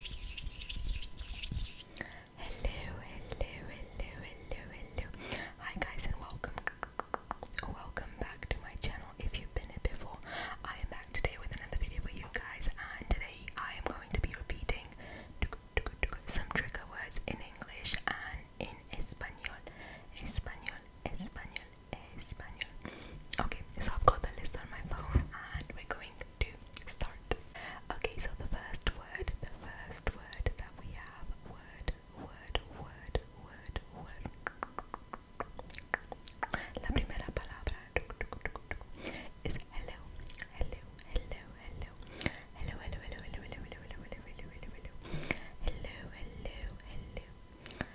Hello, hello, hello, hello, hello. Hi guys and welcome. Welcome back to my channel if you've been here before. I am back today with another video for you guys and today I am going to be repeating some trigger words in English and in Espanol. Espanol, Espanol, Espanol. Okay, so I've got the list on my phone and we're going to start. Okay, so the first word, the first word that we have word, word, word, word, word. La primera palabra is hello, hello, hello, hello, hello, hello, hello, hello, hello, hello, hello, hello, hello, hello, hello,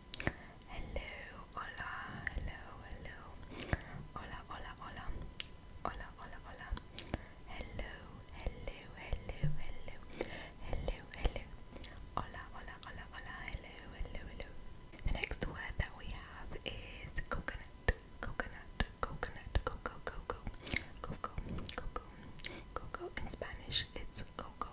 Hello, hola, hello, hello. Hola, hola, hola. Hola, hola, hola. Hello, hello, hello, hello. Hello, hello. Hola, hola, hola, hola. Hello, hello, hello. The next word that we have is coconut. Coconut, coconut, coco, coco. Coco, coco. Coco in Spanish, it's coco.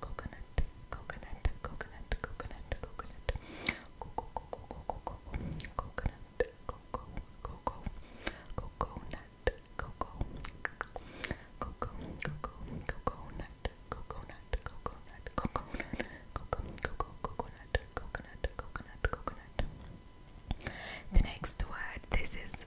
coconut, coconut, coconut, coconut, coconut, coco, coco, coco, coco, coconut, coco, coco, coconut, coco, coco, coco, coconut, coconut, coconut, coconut, coco, coconut, coconut, coconut, coconut. The next word, this is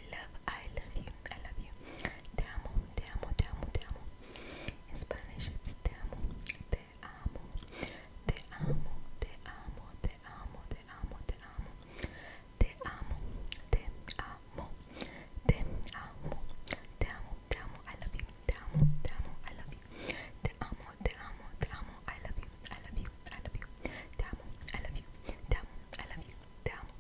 I love, I love you, I love you. Te amo, te amo, te amo, te amo. Spanish it's te amo, te amo, te amo, te amo, te amo, te amo, te amo, te amo, te amo, te amo, te amo, te amo, te amo, te amo, te amo, te amo, te amo, te amo, te amo.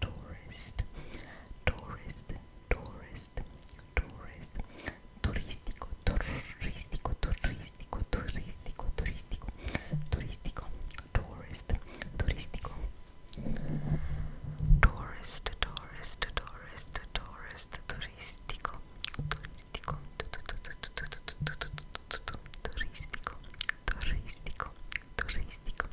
tourist, tourist, tourist, tourist, turístico, turístico, turístico, turístico, turístico, turístico, tourist, turístico, tourist, tourist, tourist, tourist, turístico, turístico, turístico, turístico, turístico,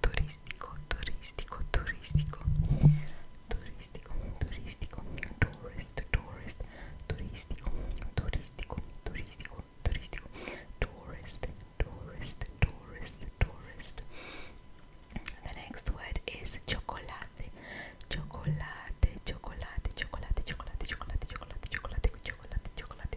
turistico, turistico, turistico, turistico, turistico, tourist, tourist, turistico, turistico, turistico, turistico, tourist, tourist, tourist, tourist. The next word is chocolate, chocolate, chocolate, chocolate, chocolate, chocolate, chocolate, chocolate, chocolate, chocolate.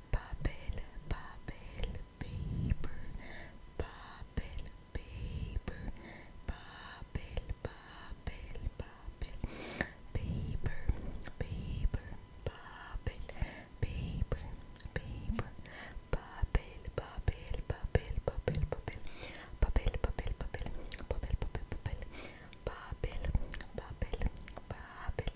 Papel, papel, paper. Papel, paper. Papel, papel, papel. Paper, paper, papel. Paper, paper. Papel, papel, papel, papel, papel. Papel, papel, papel, papel, papel, papel. Papel, papel, papel,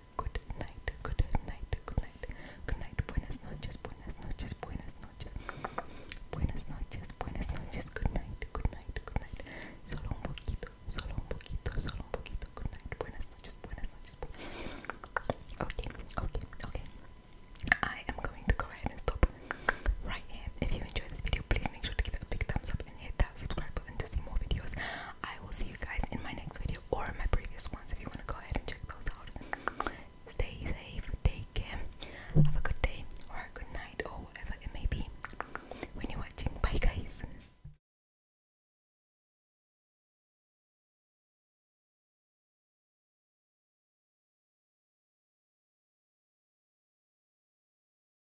night, good night, good night, good night, good night, buenas noches, buenas noches, buenas noches, buenas noches, buenas noches, good night, good night, good night, solo un poquito, solo un poquito, solo un poquito, good night, buenas noches, buenas noches, okay, okay, okay, I am going to go ahead and stop right here, if you enjoyed this video, please make sure to give it a big thumbs up and hit subscribe button to see more videos. I will see you guys in my next video or in my previous ones if you want to go ahead and check those out. Stay safe, take care, have a good day or a good night or whatever it may be when you're watching. Bye, guys.